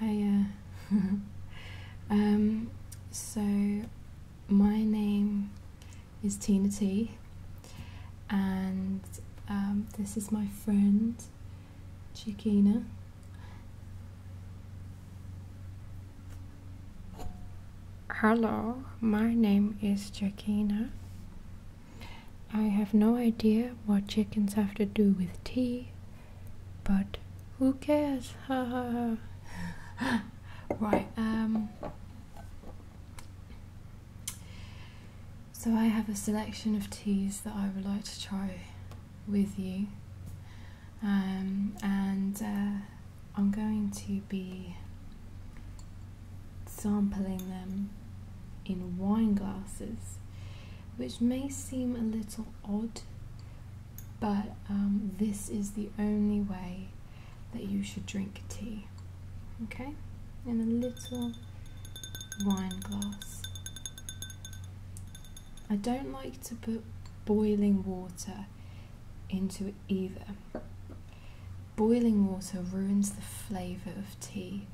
Hiya. Uh, um, so, my name is Tina T, and um, this is my friend Chiquina. Hello, my name is Chiquina. I have no idea what chickens have to do with tea, but who cares? right. Um, so I have a selection of teas that I would like to try with you, um, and uh, I'm going to be sampling them in wine glasses which may seem a little odd, but um, this is the only way that you should drink tea. Okay? In a little wine glass. I don't like to put boiling water into either. Boiling water ruins the flavour of tea.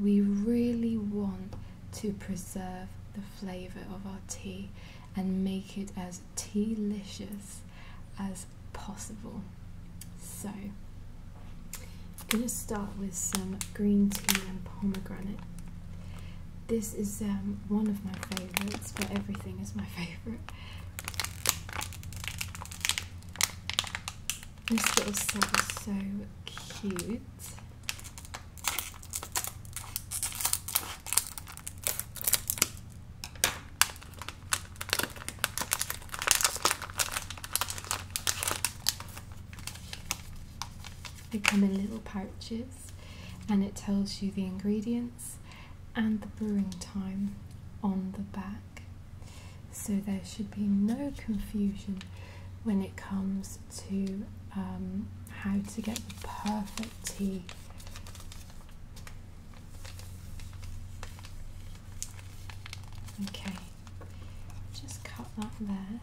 We really want to preserve the flavour of our tea and make it as tea tealicious as possible. So, I'm going to start with some green tea and pomegranate. This is um, one of my favourites, but everything is my favourite. This little set is so cute. They come in little pouches and it tells you the ingredients and the brewing time on the back. So there should be no confusion when it comes to um, how to get the perfect tea. Okay, just cut that there.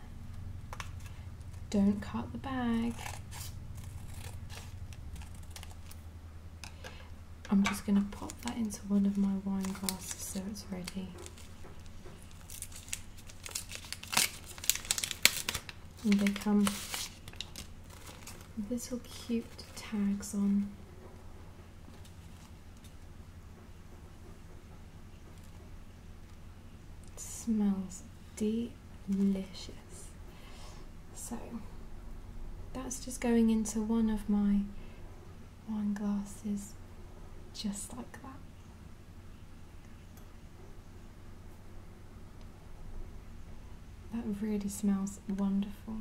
Don't cut the bag. I'm just going to pop that into one of my wine glasses so it's ready. And they come with little cute tags on. smells delicious. So that's just going into one of my wine glasses just like that. That really smells wonderful.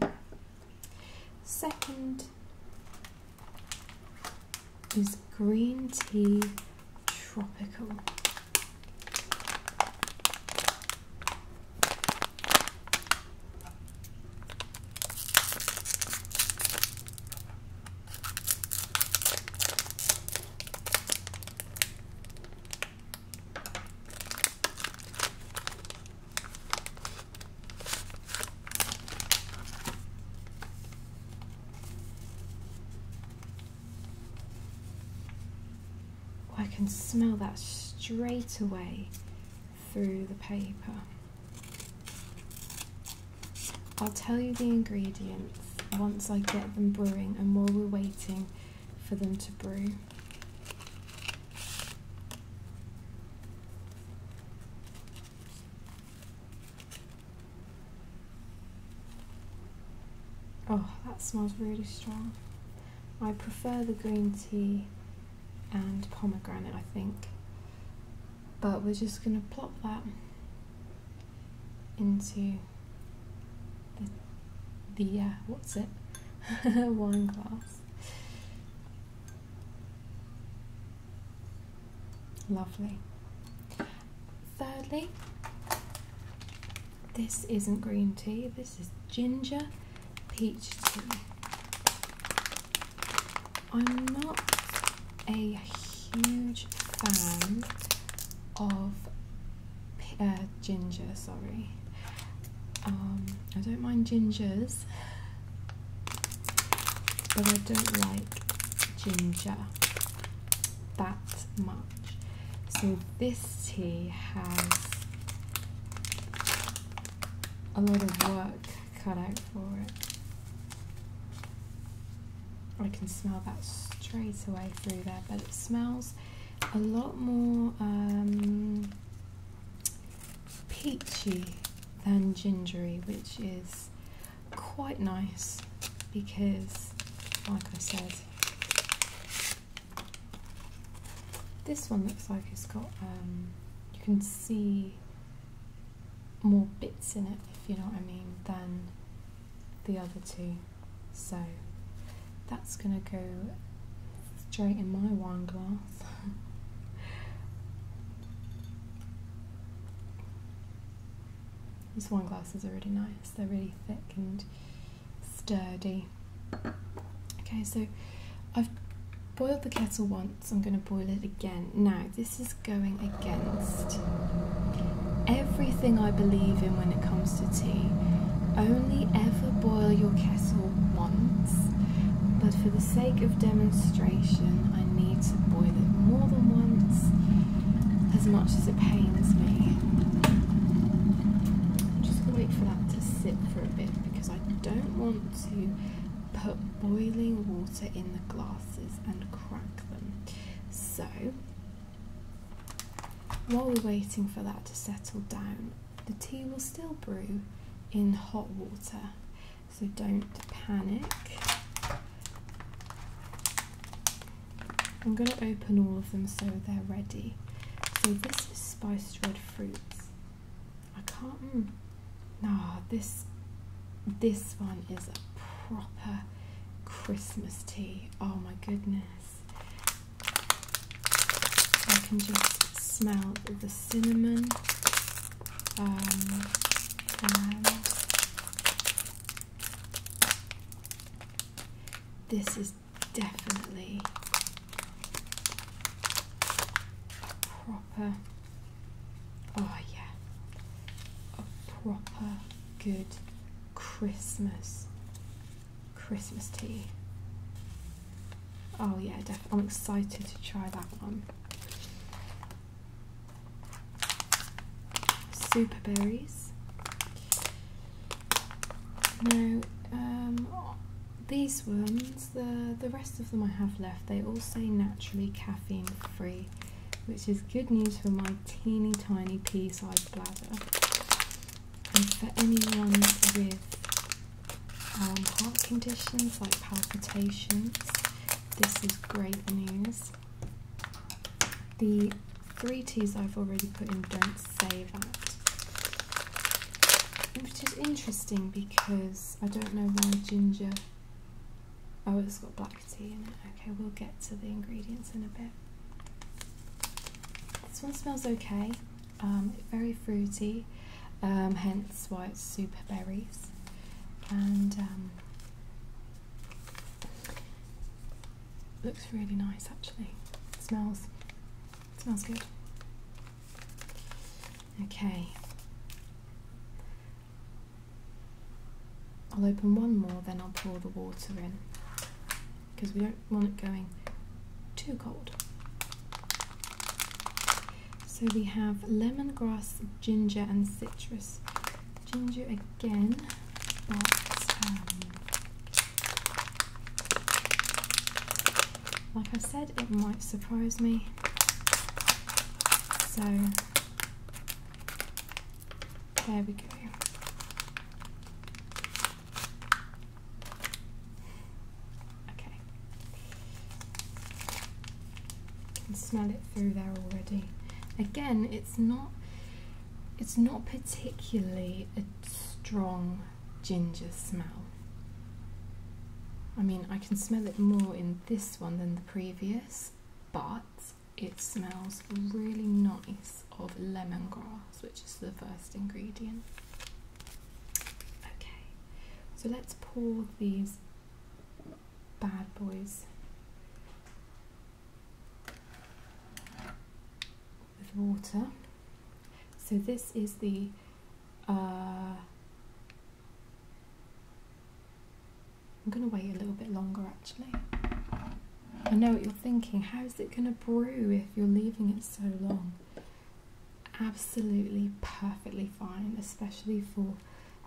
Second is green tea tropical. I can smell that straight away through the paper. I'll tell you the ingredients once I get them brewing and while we're waiting for them to brew. Oh, that smells really strong. I prefer the green tea and pomegranate, I think. But we're just going to plop that into the, uh, what's it wine glass lovely thirdly this isn't green tea this is ginger peach tea i'm not a huge fan of uh, ginger, sorry. Um, I don't mind gingers, but I don't like ginger that much. So this tea has a lot of work cut out for it. I can smell that straight away through there, but it smells a lot more um, peachy than gingery, which is quite nice because, like I said, this one looks like it's got, um, you can see more bits in it, if you know what I mean, than the other two. So that's going to go straight in my wine glass. These wine glasses are really nice, they're really thick and sturdy. Okay, so I've boiled the kettle once, I'm going to boil it again. Now, this is going against Everything I believe in when it comes to tea, only ever boil your kettle once, but for the sake of demonstration, I need to boil it more than once, as much as it pains me. I'm just going to wait for that to sit for a bit because I don't want to put boiling water in the glasses and crack them. So, while we're waiting for that to settle down, the tea will still brew in hot water, so don't panic. I'm going to open all of them so they're ready. So this is spiced red fruits. I can't. Mm, nah, this this one is a proper Christmas tea. Oh my goodness. I can just smell the cinnamon um, and this is definitely proper oh yeah a proper good Christmas Christmas tea. Oh yeah, definitely. I'm excited to try that one. Super berries. Now, um, these ones, the the rest of them I have left, they all say naturally caffeine free, which is good news for my teeny tiny pea-sized bladder. And for anyone with um, heart conditions like palpitations, this is great news. The three teas I've already put in don't say that. Which is interesting because I don't know why ginger. Oh, it's got black tea in it. Okay, we'll get to the ingredients in a bit. This one smells okay, um, very fruity, um, hence why it's super berries. And um, looks really nice actually. smells, smells good. Okay. I'll open one more, then I'll pour the water in because we don't want it going too cold. So we have lemongrass, ginger, and citrus. Ginger again, but um, like I said, it might surprise me. So there we go. Okay. can smell it through there already. Again, it's not it's not particularly a strong ginger smell. I mean, I can smell it more in this one than the previous, but it smells really nice of lemongrass, which is the first ingredient. Okay, so let's pour these bad boys with water. So this is the uh, I'm going to wait a little bit longer actually. I know what you're thinking. How is it going to brew if you're leaving it so long? Absolutely perfectly fine, especially for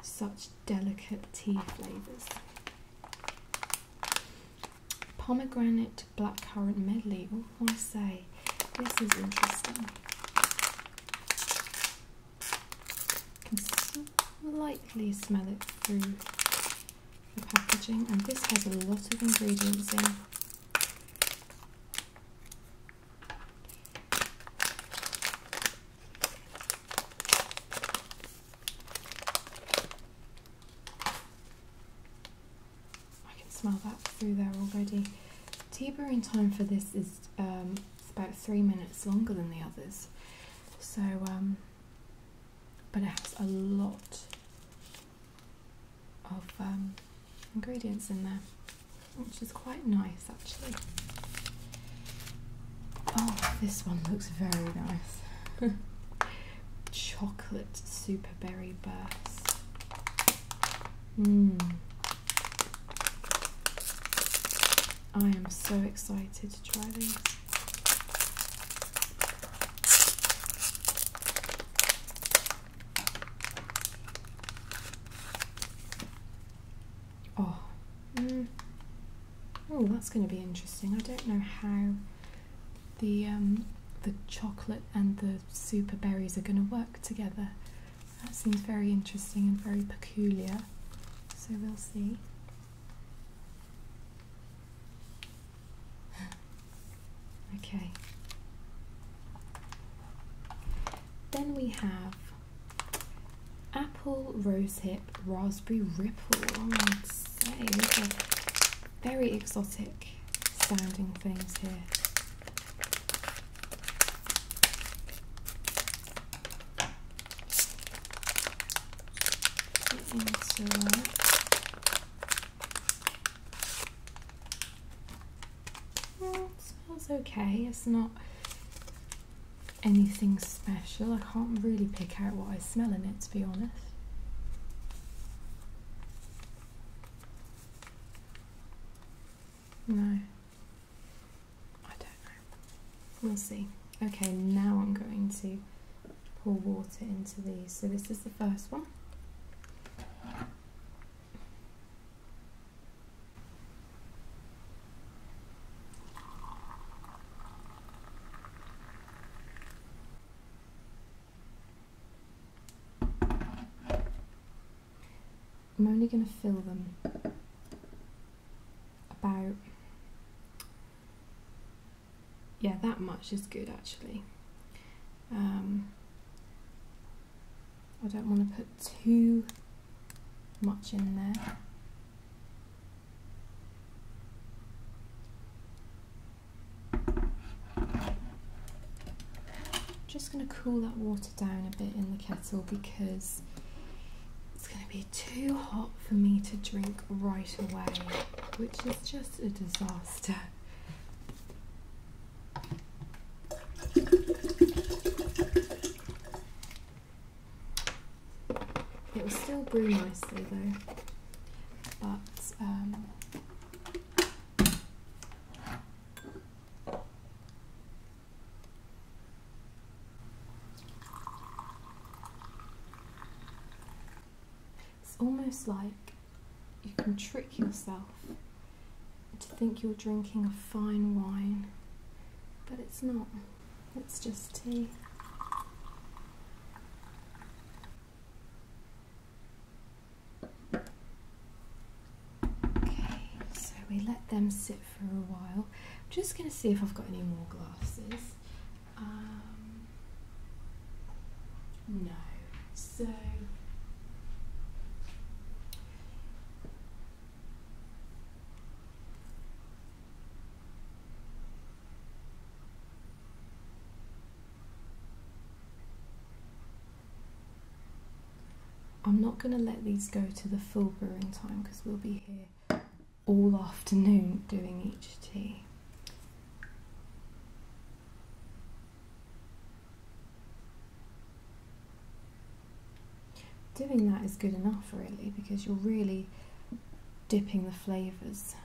such delicate tea flavours. Pomegranate blackcurrant medley. What I say? This is interesting. Can slightly smell it through the packaging, and this has a lot of ingredients in. I can smell that through there already. Tea brewing time for this is um, about three minutes longer than the others, so um, but it has a lot of um, ingredients in there, which is quite nice actually. Oh, this one looks very nice. Chocolate super berry burst. Mm. I am so excited to try these. Oh. Mm. Oh, that's going to be interesting. I don't know how the um, the chocolate and the super berries are going to work together. That seems very interesting and very peculiar. So we'll see okay. Then we have apple, rosehip, raspberry ripple. Oh, I'd say these are very exotic sounding things here it smells okay. It's not anything special. I can't really pick out what I smell in it, to be honest. No. I don't know. We'll see. Okay, now I'm going to pour water into these. So this is the first one. I'm only going to fill them about, yeah, that much is good actually. Um, I don't want to put too much in there. just going to cool that water down a bit in the kettle because it's going to be too hot for me to drink right away, which is just a disaster. It will still brew nicely though, but um, it's almost like you can trick yourself to think you're drinking a fine wine, but it's not, it's just tea. Okay, so we let them sit for a while. I'm just going to see if I've got any more glasses. Um, no, so I'm not going to let these go to the full brewing time because we'll be here all afternoon doing each tea. Doing that is good enough really because you're really dipping the flavours.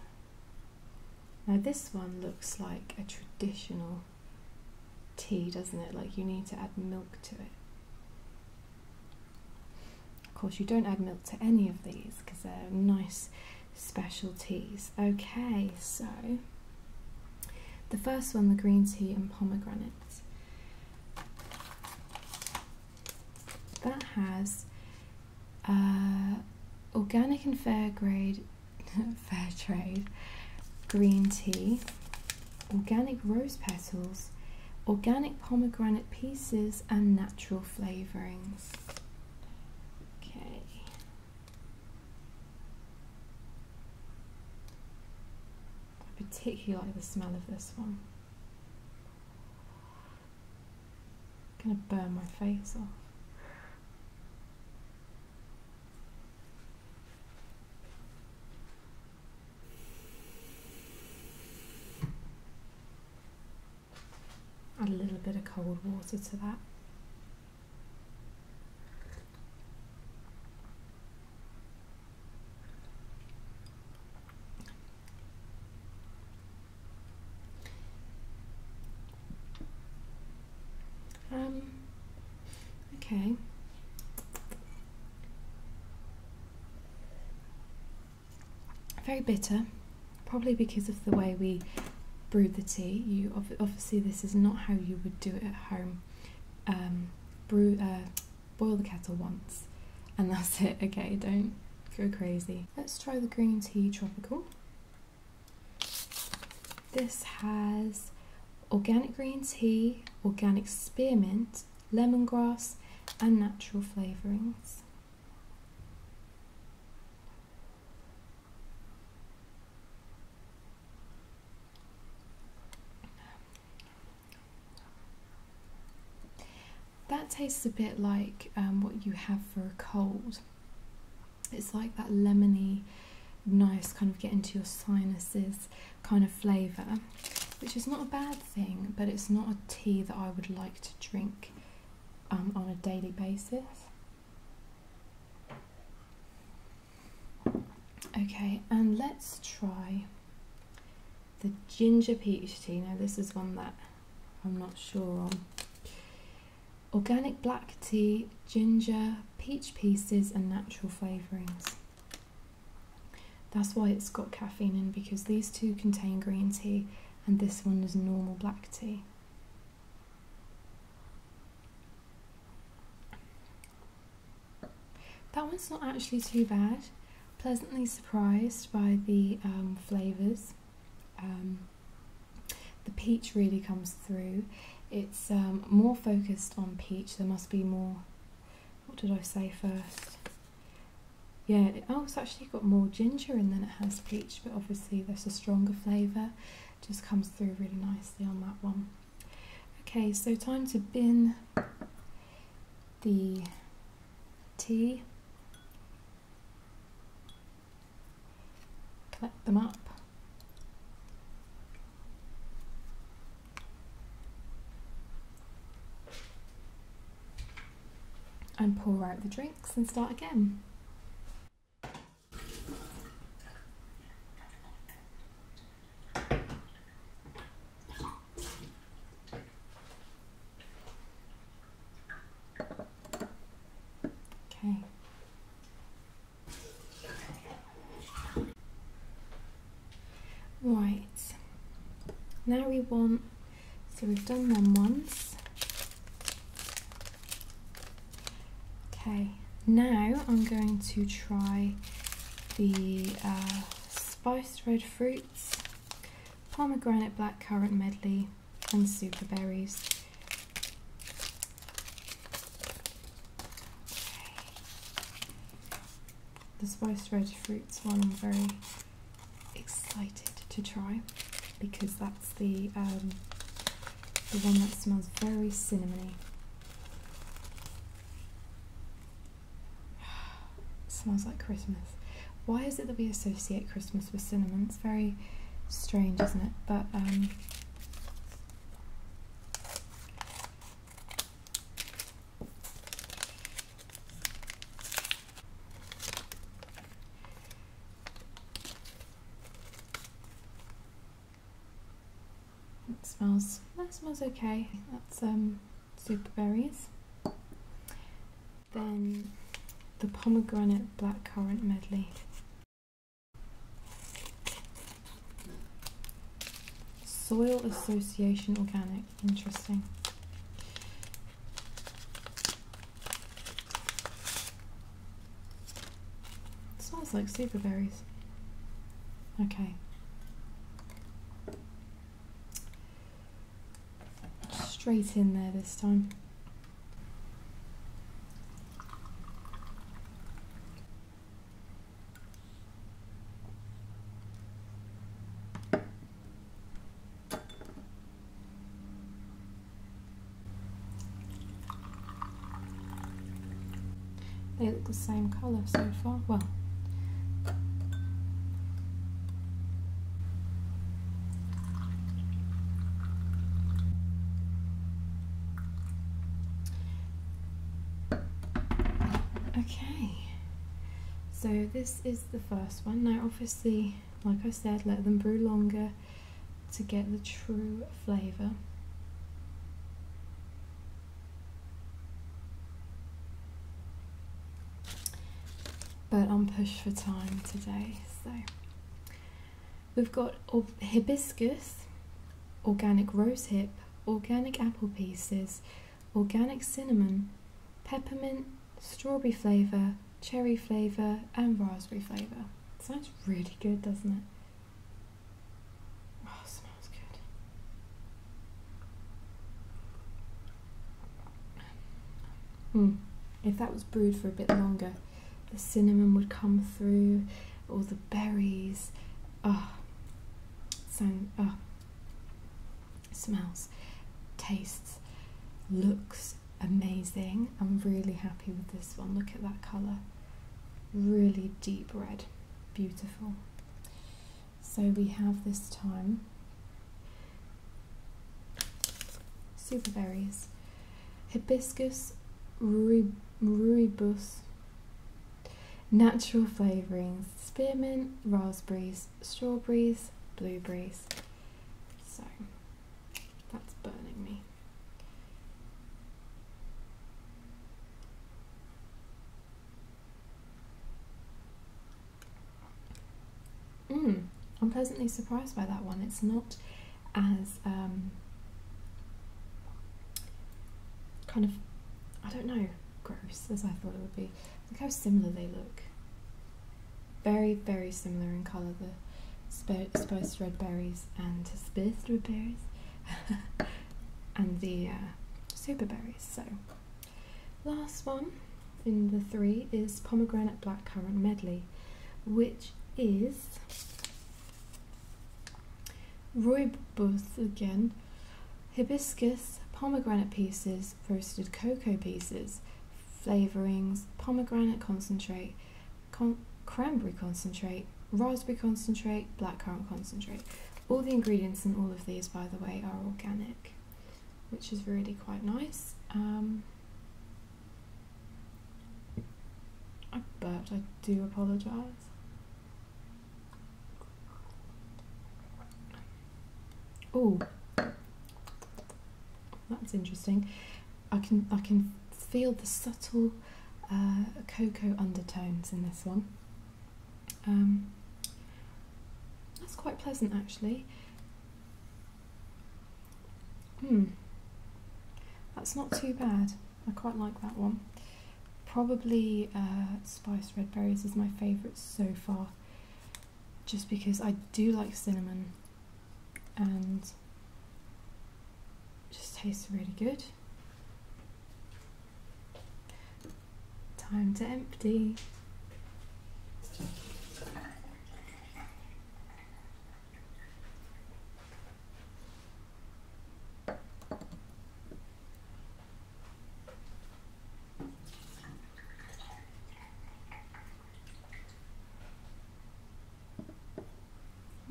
Now this one looks like a traditional tea doesn't it? Like you need to add milk to it. Of course you don't add milk to any of these because they're nice special teas Okay, so the first one, the green tea and pomegranate. That has uh, organic and fair grade, fair trade, green tea, organic rose petals, organic pomegranate pieces and natural flavourings. Okay, I particularly like the smell of this one. I'm gonna burn my face off. Add a little bit of cold water to that. Um, okay. Very bitter, probably because of the way we brewed the tea. You obviously this is not how you would do it at home. Um, brew, uh, boil the kettle once, and that's it. Okay, don't go crazy. Let's try the green tea tropical. This has organic green tea, organic spearmint, lemongrass, and natural flavourings. That tastes a bit like um, what you have for a cold. It's like that lemony, nice kind of get into your sinuses kind of flavour, which is not a bad thing, but it's not a tea that I would like to drink um, on a daily basis. Okay, and let's try the ginger peach tea. Now, this is one that I'm not sure on. Organic black tea, ginger, peach pieces, and natural flavourings. That's why it's got caffeine in because these two contain green tea and this one is normal black tea. That one's not actually too bad. Pleasantly surprised by the um, flavours. Um, the peach really comes through. It's um, more focused on peach. There must be more. What did I say first? Yeah, it, oh, actually got more ginger in than it has peach, but obviously that's a stronger flavour just comes through really nicely on that one. Okay, so time to bin the tea, collect them up. and pour out the drinks and start again. Okay. Right. Now we want, so we've done them once. Okay, now I'm going to try the uh, spiced red fruits, pomegranate black currant medley, and super berries. Okay. The spiced red fruits one I'm very excited to try because that's the um, the one that smells very cinnamony. smells like Christmas. Why is it that we associate Christmas with cinnamon? It's very strange, isn't it? But um, smells that smells okay. That's um super berries. Then the pomegranate blackcurrant medley. Soil Association Organic, interesting. It smells like super berries. Okay. Straight in there this time. They look the same colour so far. Well, okay. So this is the first one. Now, obviously, like I said, let them brew longer to get the true flavour. But I'm pushed for time today, so we've got hibiscus, organic rose hip, organic apple pieces, organic cinnamon, peppermint, strawberry flavour, cherry flavour, and raspberry flavour. Sounds really good, doesn't it? Oh, smells good. Mm. If that was brewed for a bit longer, the cinnamon would come through, all the berries. Oh, ah, sound, oh. Ah, smells, tastes, looks amazing. I'm really happy with this one. Look at that colour. Really deep red. Beautiful. So we have this time super berries, hibiscus ruribus, natural flavourings, spearmint, raspberries, strawberries, blueberries. So that's burning me. Mm, I'm pleasantly surprised by that one. It's not as um, kind of, I don't know, gross as I thought it would be. Look how similar they look. Very, very similar in colour, the spiced red berries and spiced red berries and the uh, super berries. So, last one in the three is pomegranate blackcurrant medley, which is rooibos again, hibiscus, pomegranate pieces, roasted cocoa pieces, flavorings, pomegranate concentrate, cranberry concentrate, raspberry concentrate, blackcurrant concentrate. All the ingredients in all of these, by the way, are organic, which is really quite nice. Um, I burped, I do apologise. Oh, that's interesting. I can I can feel the subtle uh, cocoa undertones in this one. Um, that's quite pleasant actually. Hmm, that's not too bad. I quite like that one. Probably uh, spiced red berries is my favourite so far, just because I do like cinnamon and just tastes really good. Time to empty.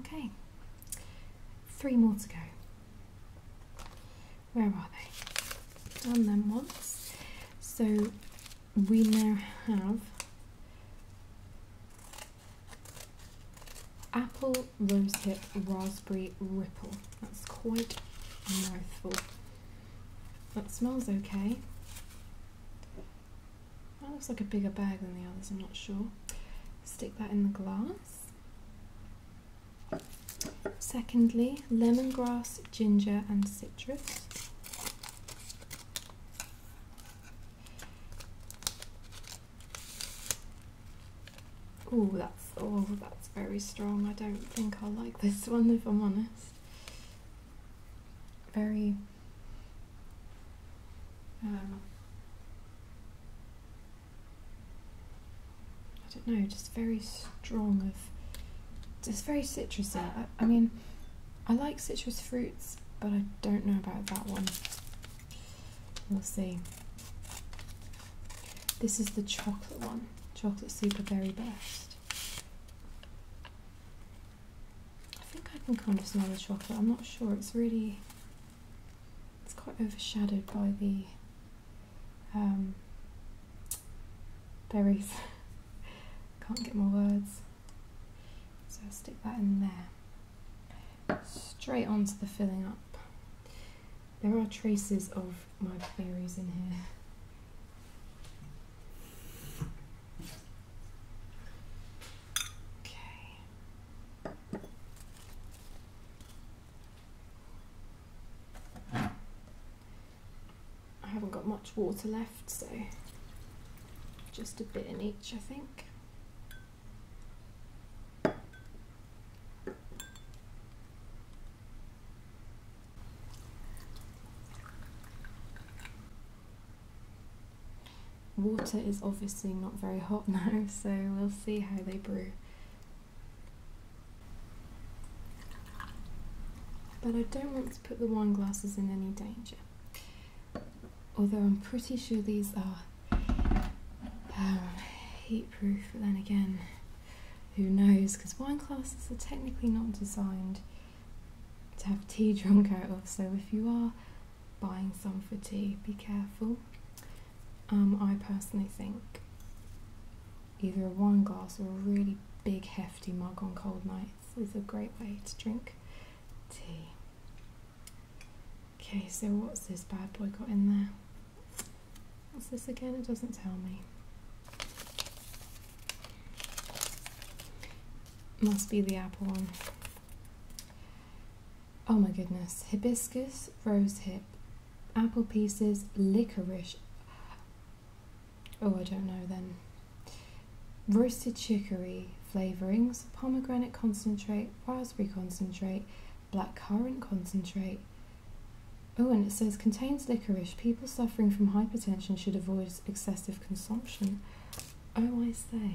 Okay, three more to go where are they? Done them once. So we now have apple, rosehip, raspberry, ripple. That's quite mouthful. That smells okay. That looks like a bigger bag than the others, I'm not sure. Stick that in the glass. Secondly, lemongrass, ginger, and citrus. Oh, that's oh, that's very strong. I don't think I like this one if I'm honest. Very um, I don't know, just very strong of, just very citrusy. I, mean, I like citrus fruits, but I don't know about that one. We'll see. This is the chocolate one, chocolate super berry best. I think I can kind of smell the chocolate. I'm not sure. It's really it's quite overshadowed by the um, berries. Can't get more words. So I'll stick that in there. Straight onto the filling up. There are traces of my berries in here. Okay. I haven't got much water left, so just a bit in each, I think. Water is obviously not very hot now, so we'll see how they brew. But I don't want to put the wine glasses in any danger. Although I'm pretty sure these are um, heat proof, but then again, who knows? Because wine glasses are technically not designed to have tea drunk out of, so if you are buying some for tea, be careful. Um, I personally think either a wine glass or a really big hefty mug on cold nights is a great way to drink tea. Okay, so what's this bad boy got in there? What's this again? It doesn't tell me. Must be the apple one. Oh my goodness. Hibiscus, rosehip, apple pieces, licorice. Oh, I don't know then. Roasted chicory flavourings, pomegranate concentrate, raspberry concentrate, black currant concentrate. Oh, and it says contains licorice. People suffering from hypertension should avoid excessive consumption. Oh, I say.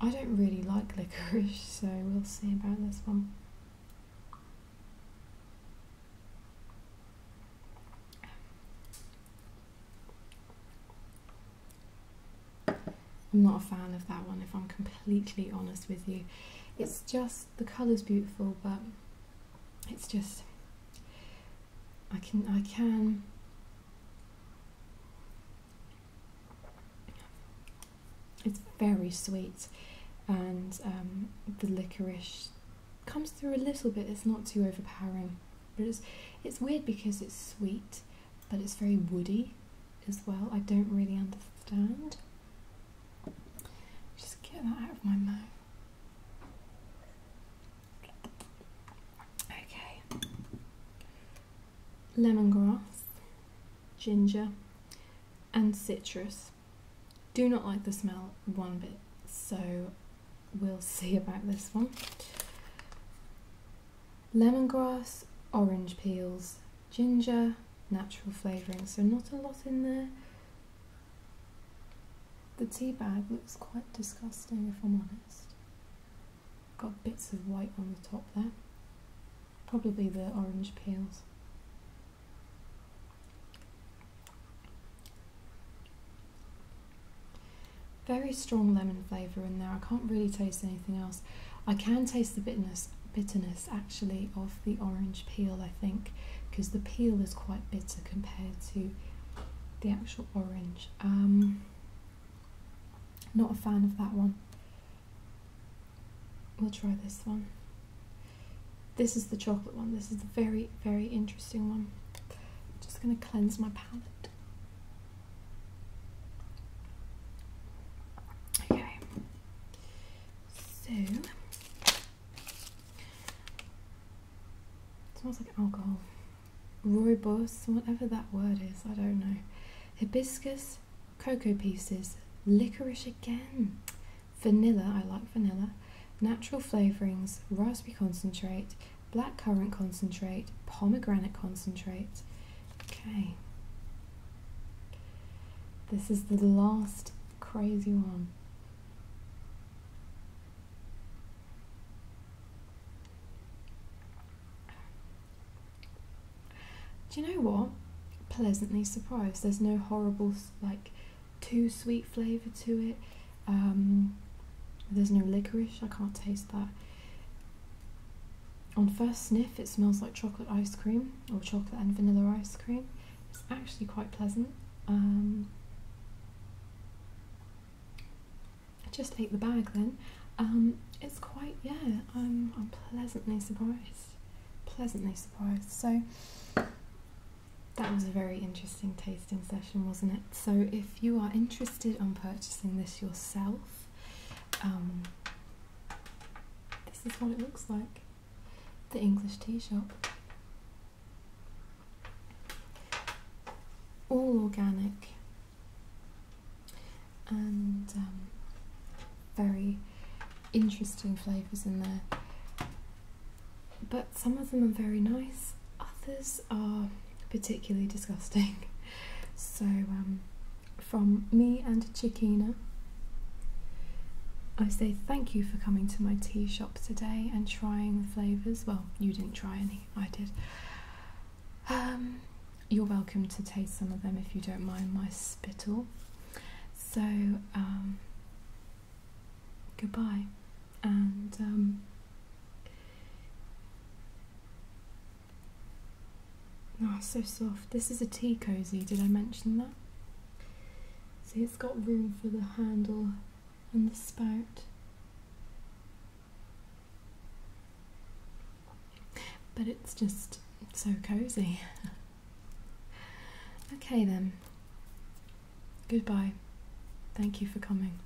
I don't really like licorice, so we'll see about this one. I'm not a fan of that one if I'm completely honest with you. It's just the colour's beautiful but it's just I can I can it's very sweet, and um, the licorice comes through a little bit. It's not too overpowering, but it's it's weird because it's sweet, but it's very woody as well. I don't really understand. Just get that out of my mouth. Okay. Lemongrass, ginger, and citrus. Do not like the smell one bit, so we'll see about this one. Lemongrass, orange peels, ginger, natural flavouring, so not a lot in there. The tea bag looks quite disgusting if I'm honest. Got bits of white on the top there. Probably the orange peels. Very strong lemon flavour in there. I can't really taste anything else. I can taste the bitterness, bitterness actually of the orange peel, I think, because the peel is quite bitter compared to the actual orange. Um, not a fan of that one. We'll try this one. This is the chocolate one. This is the very, very interesting one. I'm just going to cleanse my palette. Okay. So. It smells like alcohol. Rooibos, whatever that word is, I don't know. Hibiscus, cocoa pieces, licorice again vanilla, I like vanilla, natural flavourings, raspberry concentrate, blackcurrant concentrate, pomegranate concentrate. Okay. This is the last crazy one. Do you know what? Pleasantly surprised. There's no horrible, like, too sweet flavour to it. Um, there's no licorice, I can't taste that. On first sniff, it smells like chocolate ice cream or chocolate and vanilla ice cream. It's actually quite pleasant. Um, I just ate the bag then. Um, it's quite, yeah, I'm, I'm pleasantly surprised. Pleasantly surprised. So, that was a very interesting tasting session, wasn't it? So, if you are interested on purchasing this yourself, um, this is what it looks like the English tea shop. All organic and um, very interesting flavours in there. But some of them are very nice, others are particularly disgusting. So, um, from me and Chikina, I say thank you for coming to my tea shop today and trying the flavours. Well, you didn't try any, I did. Um, you're welcome to taste some of them if you don't mind my spittle. So, um, goodbye. And um, ah, so soft. This is a tea cozy. Did I mention that? See, it's got room for the handle and the spout. But it's just so cozy. Okay then. Goodbye. Thank you for coming.